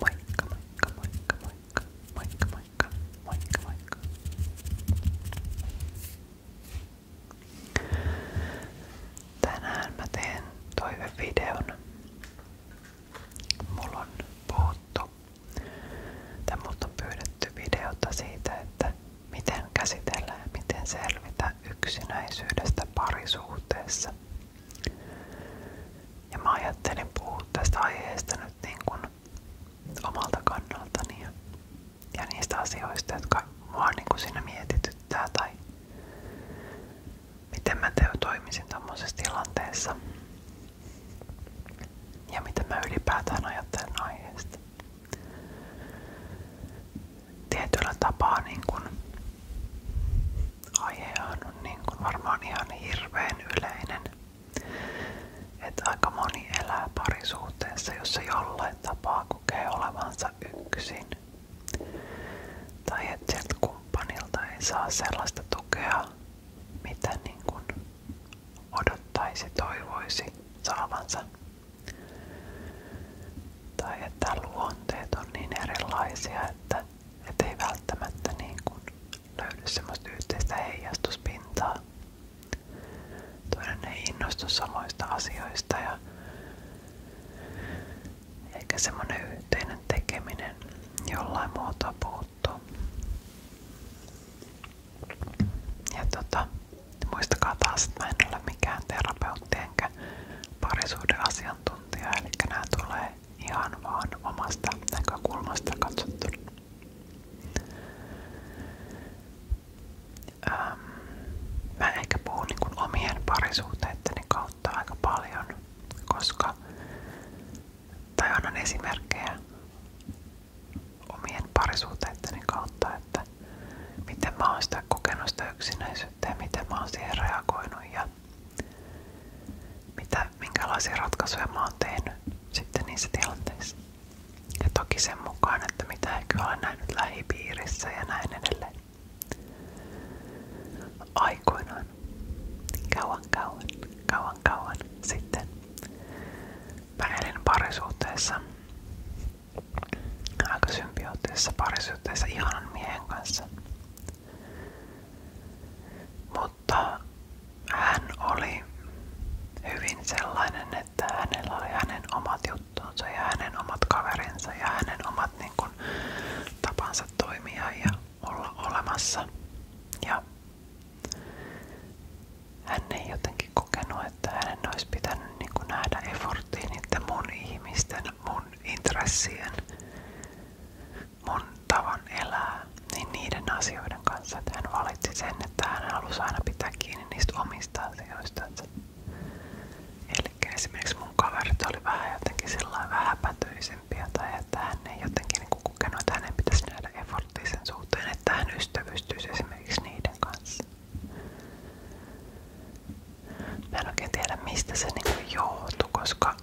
Moikka, moikka, moikka, moikka, moikka, moikka, moikka, moikka. Tänään mä teen toivevideon. Mulla on puhuttu, tai multa on pyydetty videota siitä, että miten käsitellä ja miten selvitä yksinäisyydestä parisuhteessa. Ja mä ajattelin puhua tästä aiheesta nyt niin kuin omalta kannaltani ja, ja niistä asioista, jotka mua niin kuin siinä mietityttää tai miten mä toimisin tommosessa tilanteessa ja miten mä ylipäätään ajattelen aiheesta. Tietyllä tapaa niin kun aihehan on niin kuin varmaan ihan Että aika elää parisuhteessa, jossa jollain tapaa kokee olevansa yksin. Tai että sieltä ei saa sellaista tukea, mitä niin odottaisi, toivoisi saavansa. Tai että luonteet niin erilaisia, että että ei välttämättä niin kuin löydy semmoista yhteistä heijastuspintaa. Toinen ei samoista asioista ja eikä semmoinen yhteinen tekeminen jollain muuta puuttuu. Ja tota, muistakaa taas, että mä en ole mikään terapeutti enkä parisuuden asiantuntija, eli nämä tulee ihan vaan omasta näkökulmasta katsottuna. Ähm, mä ehkä puhun niin omien parisuhteitteni kautta aika paljon, koska tai annan esimerkkejä omien parisuhteitteni kautta, että miten mä oon sitä kokenut sitä yksinäisyyttä ja miten mä oon siihen reagoinut ja mitä, minkälaisia ratkaisuja mä oon tehnyt sitten niissä tilanteissa. Ja toki sen mukaan, että mitä ehkä olen nähnyt lähipiirissä ja näin edelleen. Aikoinaan, kauan kauan, kauan kauan sitten, mä elin parisuhteessa, aika symbioottisessa parisuhteessa ihanan miehen kanssa mutta hän oli hyvin sellainen, että hänellä oli hänen omat juttuunsa ja hänen omat kaverinsa ja hänen omat niin kuin, tapansa toimia ja olla olemassa. Ja hän ei jotenkin kokenut, että hänen olisi pitänyt niin kuin, nähdä efforttiin niiden mun ihmisten, mun intressien mun tavan elää, niin niiden asioiden kanssa, hän valitsi sen, että hän halusi pitää kiinni niistä omista asioistansa. Eli esimerkiksi mun kaverit oli vähän jotenkin sillä vähäpätyisempiä tai että hän ei jotenkin niinku pitäisi nähdä efforttia sen että hän ystävystyisi esimerkiksi niiden kanssa. Mä en tiedä mistä se niin joutui, koska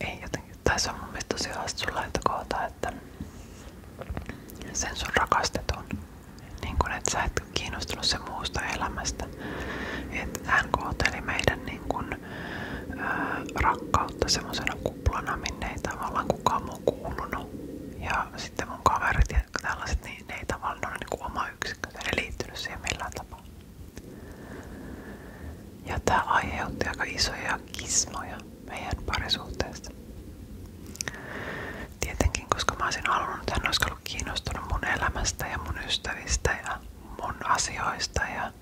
ei jotenkin, tai se on mun mielestä tosi hassu lähtökohta, että sen sun rakastetun, niin kun et sä et kiinnostunut sen muusta elämästä. Et hän kohteli meidän niin kun, ää, rakkautta semmoisena kuplana, minne ei tavallaan kukaan muu kuulunut. Ja sitten mun kaverit ja tällaiset, niin ne ei tavallaan ole niin oma yksikkö, ne ei liittynyt siihen millään tapaa. Ja tämä aiheutti aika isoja kismoja meidän parisuhteesta. Tietenkin, koska mä olisin halunnut, että hän olisi ollut kiinnostunut mun elämästä ja mun ystävistä ja mun asioista. Ja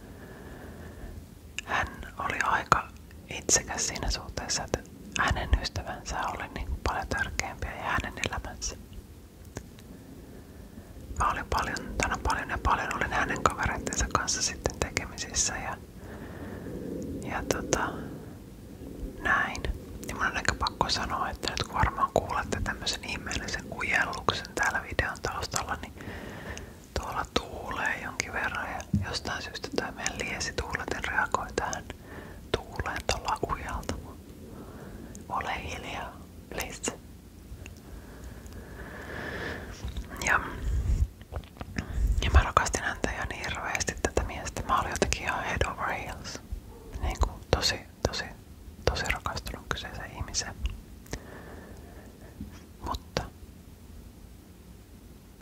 hän oli aika itsekäs siinä suhteessa, että hänen ystävänsä oli niin paljon tärkeämpiä ja hänen elämänsä. Mä olin paljon, tänä paljon ja paljon olin hänen kavereittensa kanssa sitten tekemisissä ja, ja tota, näin. Ja mun on ehkä pakko sanoa, että nyt kun varmaan kuulette tämmöisen ihmeellisen kujelluksen täällä videon taustalla, niin tuolla tuulee jonkin verran ja jostain syystä tämä meidän liesi tuuleten reagoi tähän tuuleen tuolla ujalta. Ole hiljaa, please. Ja, ja mä rakastin häntä ihan niin hirveästi tätä miestä. Mä olin jotenkin ihan head over heels. Niin kuin tosi, tosi, tosi rakastunut kyseiseen ihmiseen. Mutta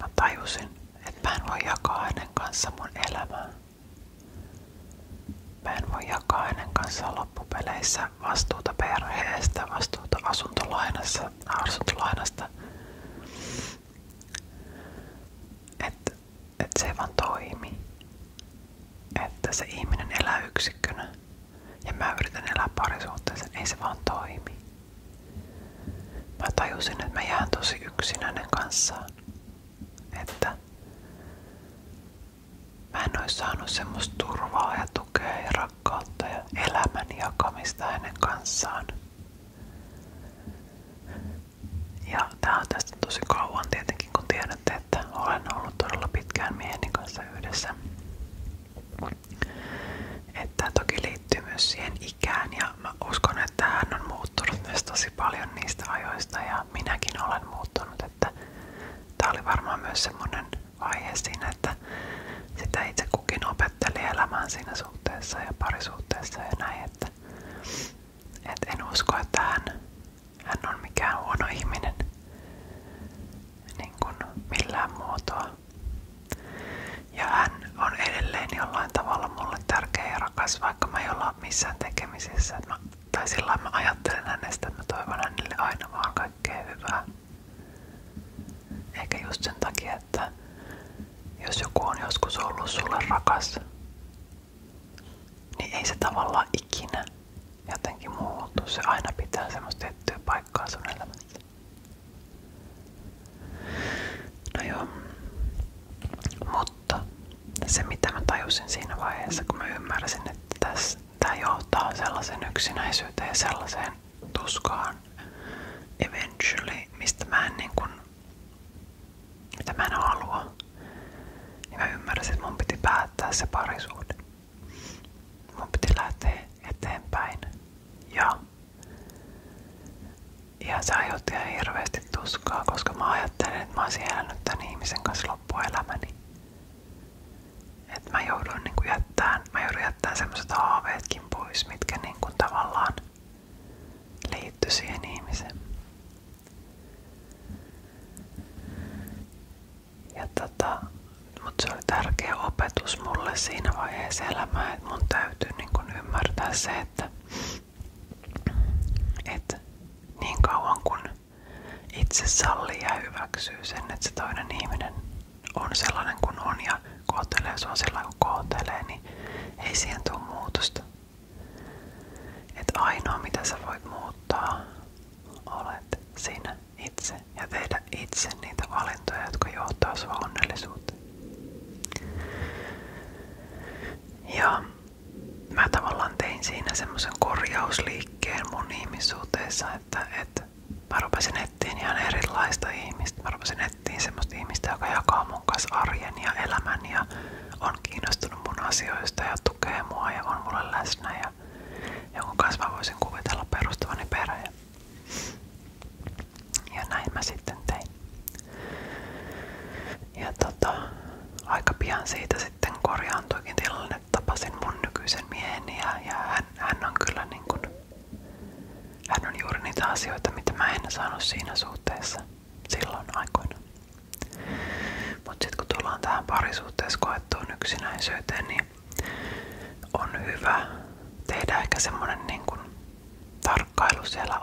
mä tajusin, että mä en voi jakaa hänen kanssa mun elämää. Mä en voi jakaa hänen kanssaan loppupeleissä vastuuta perheestä, vastuuta asuntolainassa, asuntolainasta. Että et se ei vaan toimi. Että se ihminen elää yksikkönä. Ja mä yritän elää parisuhteessa, ei se vaan toimi. Mä tajusin, että mä jään tosi yksin hänen kanssaan. Että Mä en ois saanut semmoista turvaa ja tukea ja rakkautta ja elämän jakamista hänen kanssaan. Ja tää on tästä tosi kauan tietenkin, kun tiedätte, että olen ollut todella pitkään mieheni kanssa yhdessä. Että toki liittyy myös siihen ikään ja mä uskon, että hän on muuttunut myös tosi paljon niistä ajoista ja minäkin olen muuttunut että tämä oli varmaan myös semmoinen vaihe siinä, että sitä itse kukin opetteli elämään siinä suhteessa ja parisuhteessa ja näin, että et en usko, että hän, hän on mikään huono ihminen niin kuin millään muotoa. Ja hän on edelleen jollain tavalla mulle tärkeä ja rakas, vaikka mä en olla missään tekemisissä. Mä tai sillä mä ajattelen hänestä, että mä toivon hänelle aina vaan kaikkea hyvää. Eikä just sen takia, että jos joku on joskus ollut sulle rakas, niin ei se tavallaan ikinä jotenkin muutu. Se aina pitää semmoista tiettyä paikkaa sun elämässä. No joo. Mutta se mitä mä tajusin siinä vaiheessa, kun mä ymmärsin, että tässä Tämä johtaa sellaisen yksinäisyyteen ja sellaiseen tuskaan eventually, mistä mä en niin kuin, mitä mä en halua. Niin mä ymmärsin, että mun piti päättää se parisuhde. Mun piti lähteä eteenpäin. Ja, ja se aiheutti ihan hirveästi tuskaa, koska mä ajattelin, että mä oon siellä nyt tämän ihmisen kanssa loppuelämäni. Et mä joudun niin kuin jättää, mä joudun jättää semmoset haaveetkin pois, mitkä niin kuin tavallaan liittyy siihen ihmiseen. Ja tota, mut se oli tärkeä opetus mulle siinä vaiheessa elämää, että mun täytyy niin kuin ymmärtää se, että et niin kauan kuin itse sallii ja hyväksyy sen, että se toinen ihminen on sellainen kuin on ja kohtelee sua sellainen kuin kohtelee, niin ei siihen tule muutosta. Että ainoa mitä sä voit muuttaa, olet sinä itse ja tehdä itse niitä valintoja, jotka johtaa sua onnellisuuteen. Ja mä tavallaan tein siinä semmoisen korjausliikkeen liikkeen mun ihmissuhteessa, että, että mä rupesin etsiin ihan erilaista ihmistä. Mä rupesin etsiin semmoista ihmistä, joka jakaa mun kanssa arjen ja elämän ja on kiinnostunut mun asioista ja tukee mua ja on mulle läsnä ja jonkun kanssa mä voisin kuvitella perustavani perheen. Ja näin mä sitten tein. Ja tota, aika pian siitä sitten korjaantuikin tilanne, tapasin mun mieheni ja, hän, on kyllä niin hän on juuri niitä mitä mä en saanut siinä suhteessa silloin aikoina. Mutta sitten kun tähän parisuhteessa koettuun yksinäisyyteen, niin on hyvä tehdä ehkä semmonen niin kuin tarkkailu siellä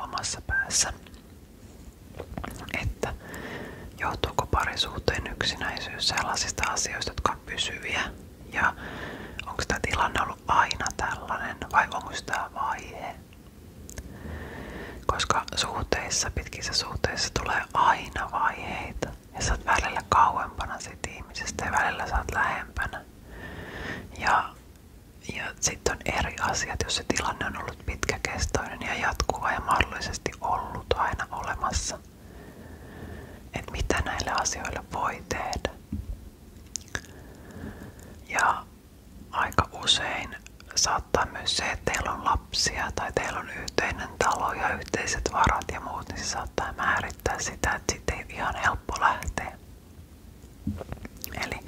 päässä. Että että johtuuko parisuhteen yksinäisyys sellaisista asioista, jotka on pysyviä ja onko tämä tilanne ollut aina tällainen vai onko tämä vaihe. Koska suhteissa, pitkissä suhteissa tulee aina vaiheita ja sä oot välillä kauempana siitä ihmisestä ja välillä sä oot lähempänä. Ja, ja sitten on eri asiat, jos se tilanne on ollut pitkäkestoinen ja jatkuva ja mahdollisesti ollut aina olemassa että mitä näille asioille voi tehdä. Ja aika usein saattaa myös se, että teillä on lapsia tai teillä on yhteinen talo ja yhteiset varat ja muut, niin se saattaa määrittää sitä, että sitten ei ihan helppo lähteä. Eli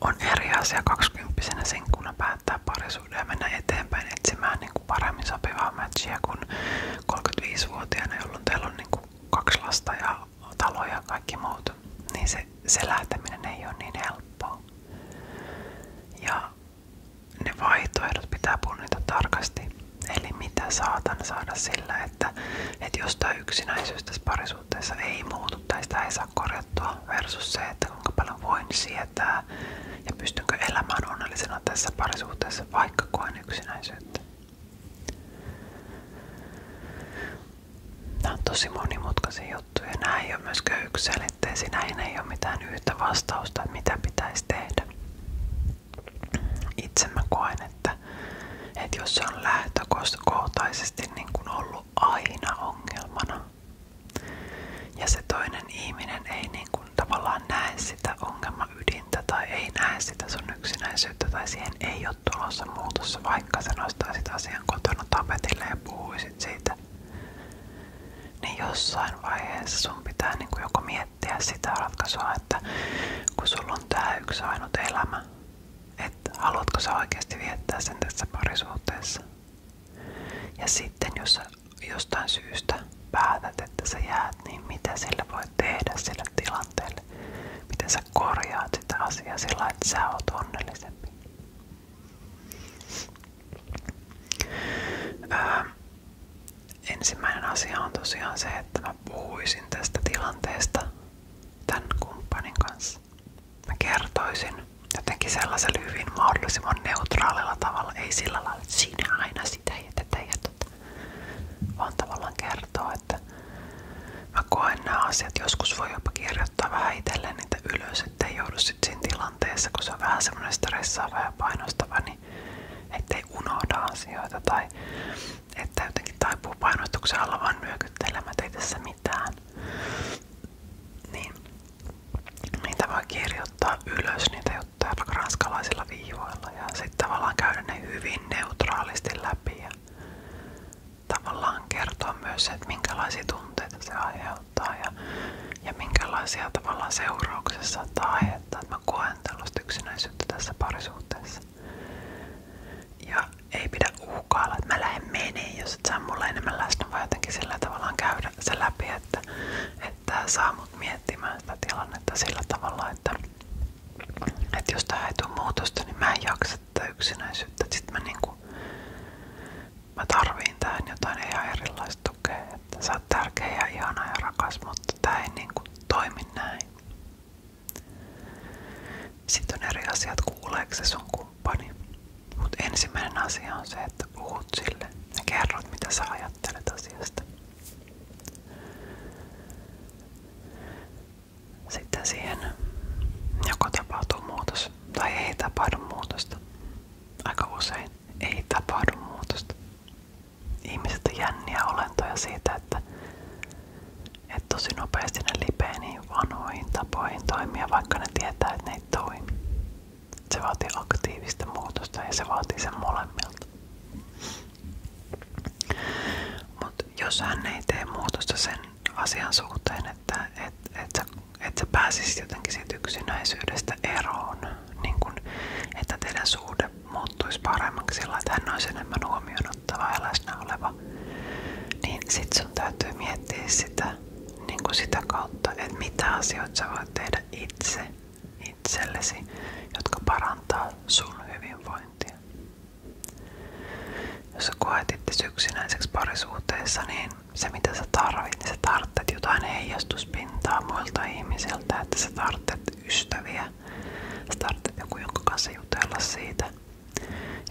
on eri asia 20 sinkkuna päättää pari mahdollisuuden ja mennä eteenpäin etsimään niin kuin paremmin sopivaa matchia kuin 35-vuotiaana, jolloin teillä on niin kuin kaksi lasta ja talo ja kaikki muut, niin se, se lähteminen ei ole niin helppoa. Ja ne vaihtoehdot pitää punnita tarkasti. Eli mitä saatan saada sillä, että, että jos tämä yksinäisyys tässä parisuhteessa ei muutu tai sitä ei saa korjattua versus se, että kuinka paljon voin sietää elämää ja pystynkö elämään onnellisena tässä parisuhteessa, vaikka koen yksinäisyyttä. Nämä on tosi monimutkaisia juttuja. Nämä ei ole myöskään yksiselitteisiä. näin ei ole mitään yhtä vastausta, että mitä pitäisi tehdä. Itse mä koen, että, että jos se on lähtökohtaisesti niin kuin ollut aina ongelmana, ja se toinen ihminen ei niin kuin tavallaan näe sitä ydintä tai ei näe sitä sun yksinäisyyttä tai siihen ei ole tulossa muutossa, vaikka sä nostaisit asian kotona tapetille ja puhuisit siitä. Niin jossain vaiheessa sun pitää niin kuin joko miettiä sitä ratkaisua, että kun sulla on tää yksi ainut elämä, että haluatko sä oikeasti viettää sen tässä parisuhteessa ja sitten jos jostain syystä päätät, että sä jäät, niin mitä sillä voi tehdä sillä tilanteelle? Miten sä korjaat sitä asiaa sillä, että sä oot onnellisempi? Öö, ensimmäinen asia on tosiaan se, että mä puhuisin tästä tilanteesta tämän kumppanin kanssa. Mä kertoisin jotenkin sellaisella hyvin mahdollisimman neutraalilla tavalla, ei sillä tavallaan että sinä aina sitä ja tätä ja tota. Vaan tavallaan kertoo, että mä koen nämä asiat. Joskus voi jopa kirjoittaa vähän itselleen niitä ylös, ettei joudu sitten siinä tilanteessa, kun se on vähän semmoinen stressaava ja painostava, niin ettei unohda asioita tai että jotenkin taipuu painostuksen alla vaan nyökyttelemät, ei tässä mitään. Niin niitä voi kirjoittaa ylös niitä kirjoittaa ranskalaisilla viivoilla ja sitten tavallaan käydä ne hyvin neutraalisti läpi ja tavallaan kertoa myös, että minkälaisia tunteita se aiheuttaa ja, ja minkälaisia tavallaan seurauksia saattaa aiheuttaa, että mä koen tällaista yksinäisyyttä tässä parisuhteessa. Ja ei pidä uhkailla, että mä lähden menee, jos et sä mulle enemmän läsnä, vaan jotenkin sillä tavallaan käydä käydä se läpi, että, että saa mut miettimään sitä tilannetta sillä tavalla, että, että jos tähän ei tule muutosta, niin mä en jaksa tätä yksinäisyyttä. Sitten mä, niinku, mä tarviin tähän jotain ihan erilaista tukea. Että sä oot tärkeä ja ihana ja rakas, mutta tää ei niinku toimi näin. Sitten on eri asiat, kuuleeko se sun kumppani. Mutta ensimmäinen asia on se, että puhut sille ja kerrot, mitä sä ajattelet ajattelet asiasta. Sitten siihen joko tapahtuu muutos tai ei tapahdu muutosta. Aika usein ei tapahdu muutosta. Ihmiset on jänniä olentoja siitä, että, että tosi nopeasti ne lipee niin vanhoihin tapoihin toimia, vaikka ne tietää, että ne ei toimi. Se vaatii aktiivista muutosta ja se vaatii sen molemmilta. Mut jos hän ei tee muutosta sen asian suhteen, että et, et sä, et sä pääsisit jotenkin siitä yksinäisyydestä eroon, niin kun, että teidän suhde muuttuisi paremmaksi sillä, että hän olisi enemmän huomioon ottava ja läsnä oleva, niin sit sun täytyy miettiä sitä, niin sitä kautta, että mitä asioita sä voit tehdä itse itsellesi, jotka parantaa sun hyvinvointia. Jos sä koet itse yksinäiseksi parisuhteessa, niin se mitä sä tarvit, niin sä tarvitset jotain heijastuspintaa muilta ihmisiltä, että sä tarvitset ystäviä, sä tarvitset joku, jonka kanssa jutella siitä.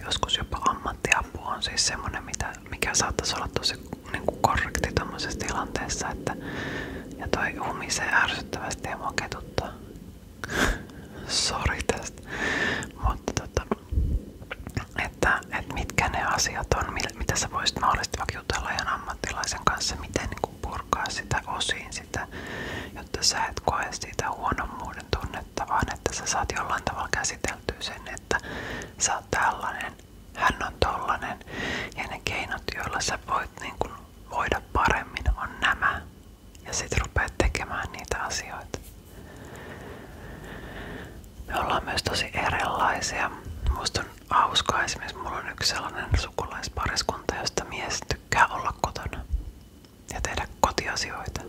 Joskus jopa ammattiapu on siis semmonen, mikä saattaisi olla tosi se niin kuin korrekti tämmöisessä tilanteessa, että ja toi humisee ärsyttävästi ja mua ketuttaa. tästä. Mutta tota, että, että mitkä ne asiat on, mitä sä voisit mahdollisesti vaikka jutella ihan ammattilaisen kanssa, miten niin kuin purkaa sitä osiin sitä, jotta sä et koe siitä huonommuuden tunnetta, vaan että sä saat jollain tavalla käsiteltyä sen, että sä oot tällainen hän on tollanen ja ne keinot, joilla sä voit niin kuin voida paremmin, on nämä. Ja sit rupeat tekemään niitä asioita. Me ollaan myös tosi erilaisia. Musta on hauskaa esimerkiksi, mulla on yksi sellainen sukulaispariskunta, josta mies tykkää olla kotona ja tehdä kotiasioita.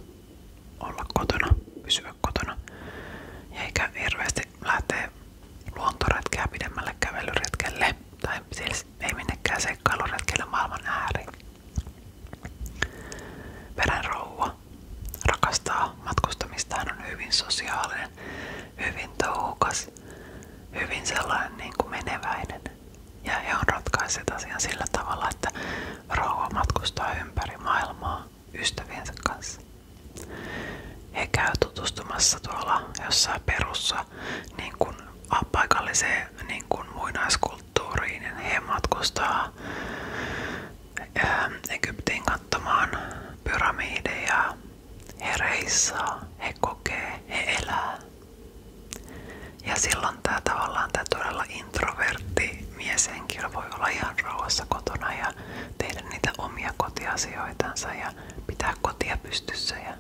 Olla kotona, pysyä kotona. Ja eikä hirveästi lähtee luontoretkeä pidemmälle kävelyretkelle tai siis ei minnekään seikkailuretkelle maailman ääriin. Verenrouva rakastaa matkustamista, hän on hyvin sosiaalinen, hyvin touhukas, hyvin sellainen niin kuin meneväinen. Ja he on ratkaisseet asian sillä tavalla, että rouva matkustaa ympäri maailmaa ystäviensä kanssa. He käy tutustumassa tuolla jossain perus tulossa niin kun, paikalliseen niin kun, muinaiskulttuuriin ja niin he matkustaa ähm, Egyptiin katsomaan pyramideja. He reissaa, he kokee, he elää. Ja silloin tämä tavallaan tämä todella introvertti mieshenkilö voi olla ihan rauhassa kotona ja tehdä niitä omia kotiasioitansa ja pitää kotia pystyssä ja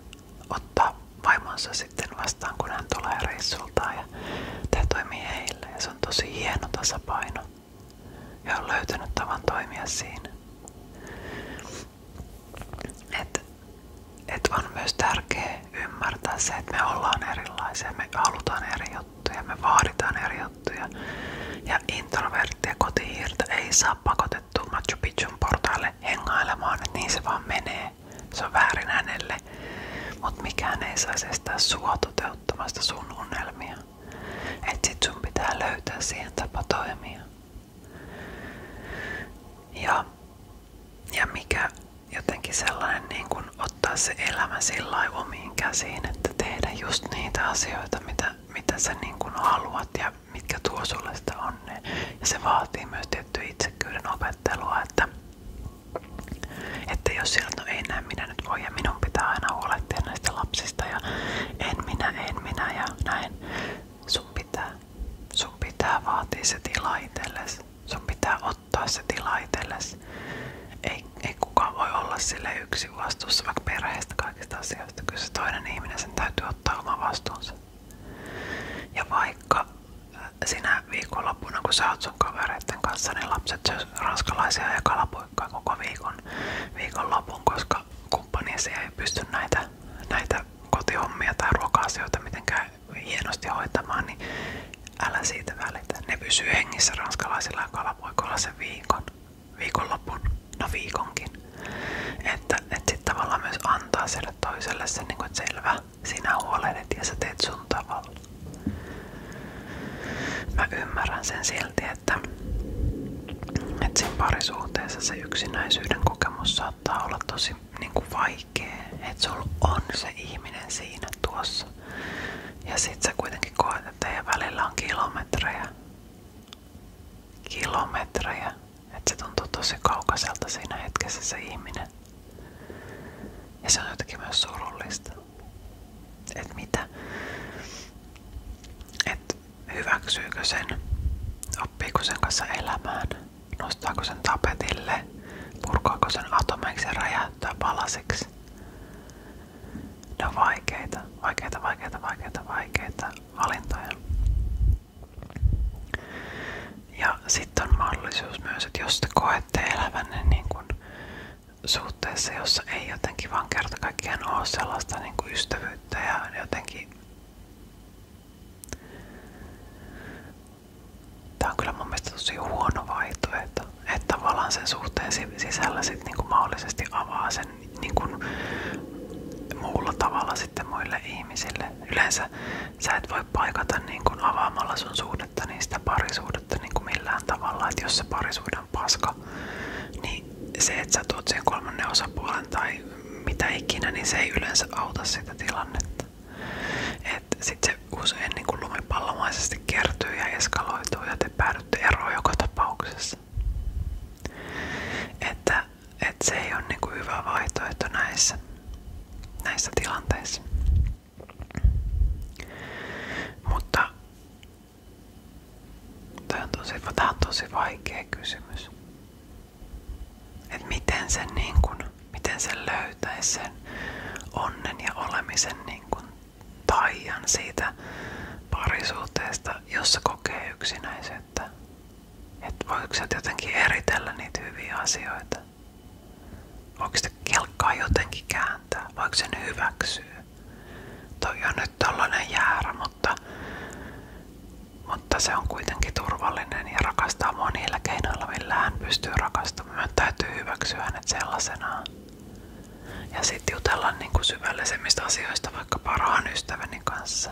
ottaa vaimonsa sitten vastaan, kun Ja tämä toimii se on tosi hieno tasapaino. Ja löytänyt tavan toimia siinä. Et, et on myös tärkeää ymmärtää että me ollaan erilaisia, me halutaan eri me vaaditaan eri Ja introvertti ja ei saa pakottaa pakotettu Machu Picchun portaalle hengailemaan, että niin se vaan menee. Se on väärin hänelle, mutta mikään ei saisi estää sua toteuttamasta sun unelmia. Et sit sun pitää löytää siihen tapa toimia. Ja, ja mikä jotenkin sellainen niin kun ottaa se elämä sillä omiin käsiin, että tehdä just niitä asioita, mitä, mitä sä niin kun haluat ja mitkä tuo sulle sitä onnea. Niin- ja se vaatii myös tiettyä itsekyyden opettelua, että, että jos sieltä no ei näe minä nyt voi ja minun pitää aina huolehtia näistä lapsista ja en minä, en minä ja näin. Sun pitää, sun pitää vaatia se tila itsellesi. Sun pitää ottaa se tila itsellesi. Ei, ei kukaan voi olla sille yksi vastuussa vaikka perheestä kaikista asioista. Kyllä se toinen ihminen sen täytyy ottaa oma vastuunsa. Ja vaikka äh, sinä viikonloppuna, kun sä oot sun kavereiden kanssa, niin lapset syö ranskalaisia ja kalapuikkaa koko viikon viikonlopun, koska kumppaniesi ei pysty näitä, näitä kotihommia tai ruoka-asioita mitenkään hienosti hoitamaan, niin älä siitä välitä. Ne pysyy hengissä ranskalaisilla ja kalapuikoilla sen viikon, viikonlopun no viikonkin. Että et sitten tavallaan myös antaa sille toiselle sen, niin että selvä, sinä huolehdit ja sä teet sun tavalla. Mä ymmärrän sen silti, että, että siinä parisuhteessa se yksinäisyyden kokemus saattaa olla tosi niin kuin vaikea. Että sulla on se ihminen siinä tuossa. Ja sit sä kuitenkin koet, että teidän välillä on kilometrejä kilometrejä, että se tuntuu tosi kaukaiselta siinä hetkessä se ihminen. Ja se on jotenkin myös surullista. Et mitä? Et hyväksyykö sen? Oppiiko sen kanssa elämään? Nostaako sen tapetille? Purkaako sen atomeiksi ja räjäyttää palasiksi? Ne on vaikeita, vaikeita, vaikeita, vaikeita, vaikeita valintoja. Ja sitten on myös, että jos te koette elävänne niin kun suhteessa, jossa ei jotenkin vaan kerta kaikkiaan niin kun ystävyyttä ja jotenkin Tämä kyllä mun mielestä tosi huono vaihtoehto, että tavallaan sen suhteen sisällä sit niinku mahdollisesti avaa sen niin kuin muulla tavalla sitten muille ihmisille. Yleensä sä et voi paikata niin kuin avaamalla sun suhdetta, niin sitä parisuudetta niin kuin millään tavalla. Että jos se parisuuden on paska, niin se, että sä tuot siihen kolmannen osapuolen tai mitä ikinä, niin se ei yleensä auta sitä tilannetta. että sit se usein niin kuin lumipallomaisesti kertyy ja eskaloituu ja te päädytte eroon joka tapauksessa. Että että se ei ole niinku hyvä vaihtoehto näissä, näissä tilanteissa. Mutta tämä on tosi, tää on tosi vaikea kysymys. Että miten sen, niin kuin, miten sen löytäisi sen onnen ja olemisen niin kuin taian siitä parisuhteesta, jossa kokee yksinäisen että, että voiko sä jotenkin eritellä niitä hyviä asioita? Voiko sitä kelkkaa jotenkin kääntää? Voiko sen hyväksyä? Toi on nyt tollanen jäärä, mutta, mutta se on kuitenkin turvallinen ja rakastaa mua niillä keinoilla, millä hän pystyy rakastamaan. Mä täytyy hyväksyä hänet sellaisenaan. Ja sitten jutella niin kuin syvällisemmistä asioista vaikka parhaan ystäväni kanssa.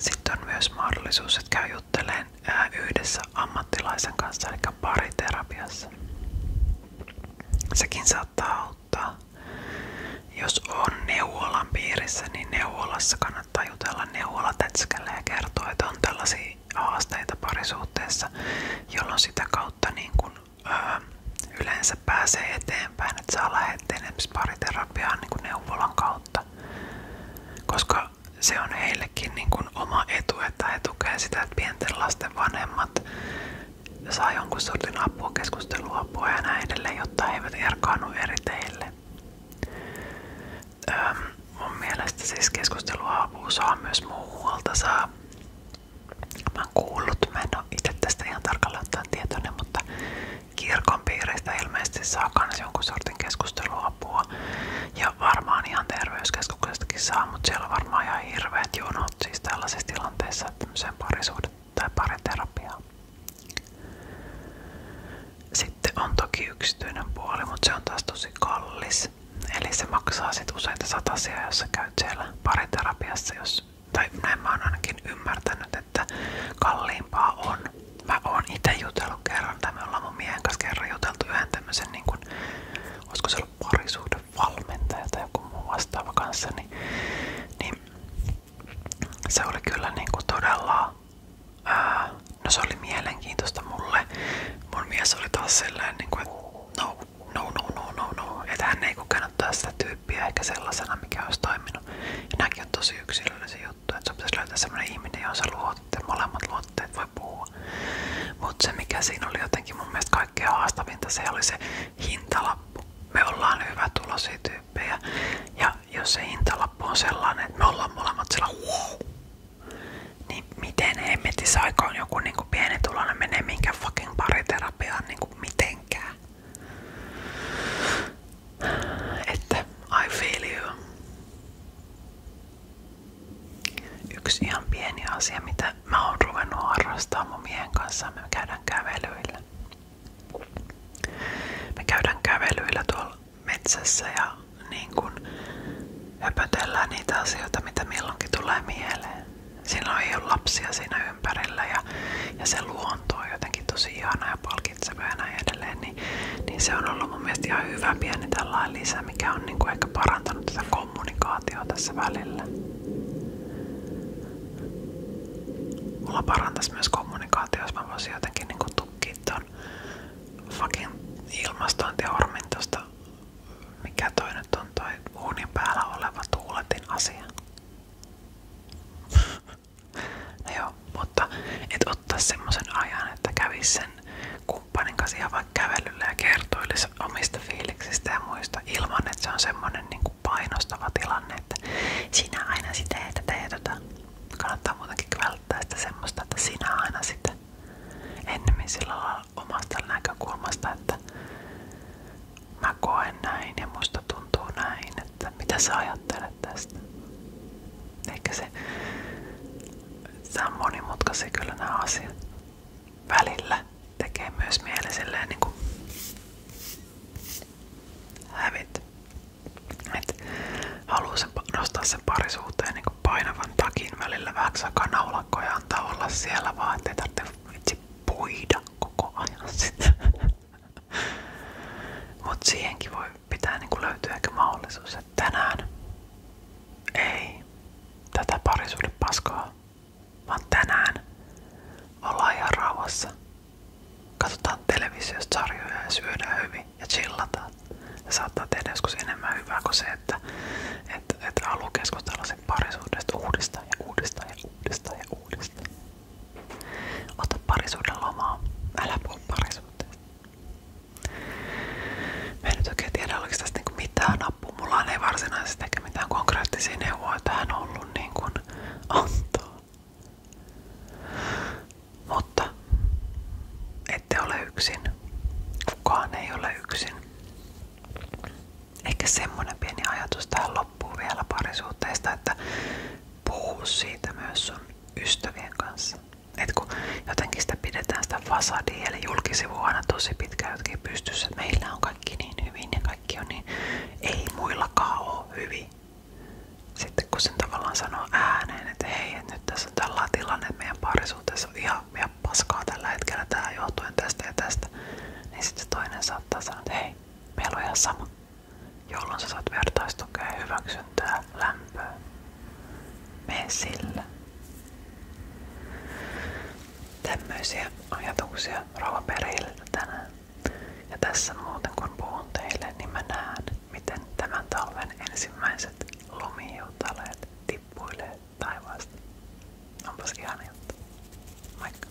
Sitten myös mahdollisuus, että käy yhdessä ammattilaisen kanssa, eli pariterapiassa. Sekin saattaa auttaa. Jos on neuvolan niin neuvolassa kannattaa jutella neuvolatätskällä ja kertoa, että on tällaisia haasteita parisuhteessa, jolloin sitä kautta niin kun, ö, yleensä pääsee eteenpäin, että saa lähetteen esimerkiksi pariterapiaan niin neuvolan kautta, koska se on heillekin niin kuin oma etu, että he tukevat sitä, että pienten lasten vanhemmat saa jonkun sortin apua, keskusteluapua ja näin edelleen, jotta he eivät erkaannu eri teille. Öö, mun mielestä siis keskusteluapua saa myös muualta saa. Mä oon kuullut, mä en oo itse tästä ihan tarkalleen ottaen tietoinen, mutta kirkon piiristä ilmeisesti saa myös jonkun sortin keskusteluapua. Ja varmaan ihan terveyskeskuksestakin saa, mutta siellä on varmaan ihan hirveät jonot siis tällaisessa tilanteessa, että tämmöiseen parisuudet tai pariterapiaan. Sitten on toki yksityinen puoli, mutta se kallis. Eli se maksaa sit useita satasia, jos sä käyt siellä pariterapiassa, jos tai näin mä oon ymmärtänyt, että kalliimpaa on. Mä oon itse jutellut kerran, tai me kanssa kerran juteltu yhden niin kun, olisiko se ollut parisuuden valmentaja tai joku muu vastaava kanssa, niin, niin se oli kyllä niin kuin todella, no se oli mielenkiintoista mulle. Mun mies oli taas sellainen, niin kuin, no, no, no, no, no, no. Että hän ei kokenut taas sitä tyyppiä eikä sellaisena, mikä olisi toiminut toiminut. Ja nämäkin on tosi yksilöllisiä juttuja, että sun pitäisi löytää semmoinen ihminen, johon sä luotte, molemmat luotteet voi puhua. Mutta se mikä siinä oli jotenkin mun mielestä kaikkein haastavinta, se oli se hintalappu. Me ollaan hyvä tulosia tyyppejä ja jos se hintalappu on sellainen, että me ollaan molemmat sillä wow, niin miten hemmetissä aikaan joku niinku pienituloinen menee minkä fucking pariterapiaan niinku mitenkään? että I feel you. Yksi ihan pieni asia, mitä mä oon ruvennut miehen kanssa, me käydään kävelyillä. Me käydään kävelyillä tuolla ja niin kun höpötellään niitä asioita, mitä milloinkin tulee mieleen. Siinä ei ole lapsia siinä ympärillä ja, ja se luo luontoa jotenkin tosi ihana ja palkitseva ja näin edelleen, niin, niin se on ollut mun mielestä ihan hyvä pieni tällainen lisä, mikä on niin kuin ehkä parantanut tätä kommunikaatiota tässä välillä. Mulla parantaisi myös kommunikaatio, jos mä voisin jotenkin niinku tukkia ton fucking ilmastointihormin tosta, mikä toi nyt on toi uunin päällä oleva tuuletin asia. No mutta et ottaa semmoisen ajan, että kävis sen kumppanin vaikka kävelyllä ja kertoilisi omista fiiliksistä muista ilman, että se on semmoinen niin kuin painostava sinä aina sitä ja tätä ja tota. Kannattaa välttää sitä semmoista, sinä aina sitä ennemmin sillä omasta näkökulmasta, että mä koen näin ja musta tuntuu näin, että mitä sä ajattelet tästä. Ehkä se, tämä on monimutkaisia kyllä nämä asiat. Välillä tekee myös mieli silleen niin kuin hävit. Et haluu sen, nostaa sen parisuuteen niin kuin painavan takin välillä vähän aikaa naulakkoja antaa olla siellä vaan, ettei tarvitse puida koko ajan sitä. Mutta siihenkin voi pitää niinku löytyä ehkä mahdollisuus, että tänään ei tätä parisuuden paskaa, vaan tänään ollaan ihan rauhassa. Katsotaan televisiosta sarjoja ja syödään hyvin ja chillataan. Ja saattaa tehdä joskus enemmän hyvää kuin se, että, että, että haluaa keskustella sen parisuudesta uudestaan ja uudestaan ja uudestaan ja uudestaan. Ota parisuuden lomaa. Älä puhu parisuuteen. Mä en nyt oikein tiedä, oliko tästä niinku mitään apua. Mulla ei varsinaisesti eikä mitään konkreettisia neuvoja tähän ollut niin kuin antaa. Mutta ette ole yksin. Kukaan ei ole yksin. Eikä semmonen pieni ajatus tähän loppuun vielä parisuhteesta, että puhua siitä myös sun kanssa. Et jotenkin sitä pidetään sitä fasadia eli julkisivua aina tosi pitkään jotenkin pystyssä, meillä on kaikki niin hyvin kaikki on niin, ei muillakaan ole hyvin. Sitten kun sen tavallaan sanoo ääneen, että hei, nyt tässä on tällainen meidän parisuhteessa on ihan, ihan paskaa tällä hetkellä, tää tästä ja niin sitten toinen saattaa sanoa, hei, meillä on sama jolloin sä saat vertaistukea ja hyväksyntää lämpöä. Mene sillä. Tämmöisiä ajatuksia rova perille tänään. Ja tässä muuten kun puhun teille, niin mä näen, miten tämän talven ensimmäiset lumijoutaleet tippuilee taivaasta. Onpas ihan juttu. Moikka!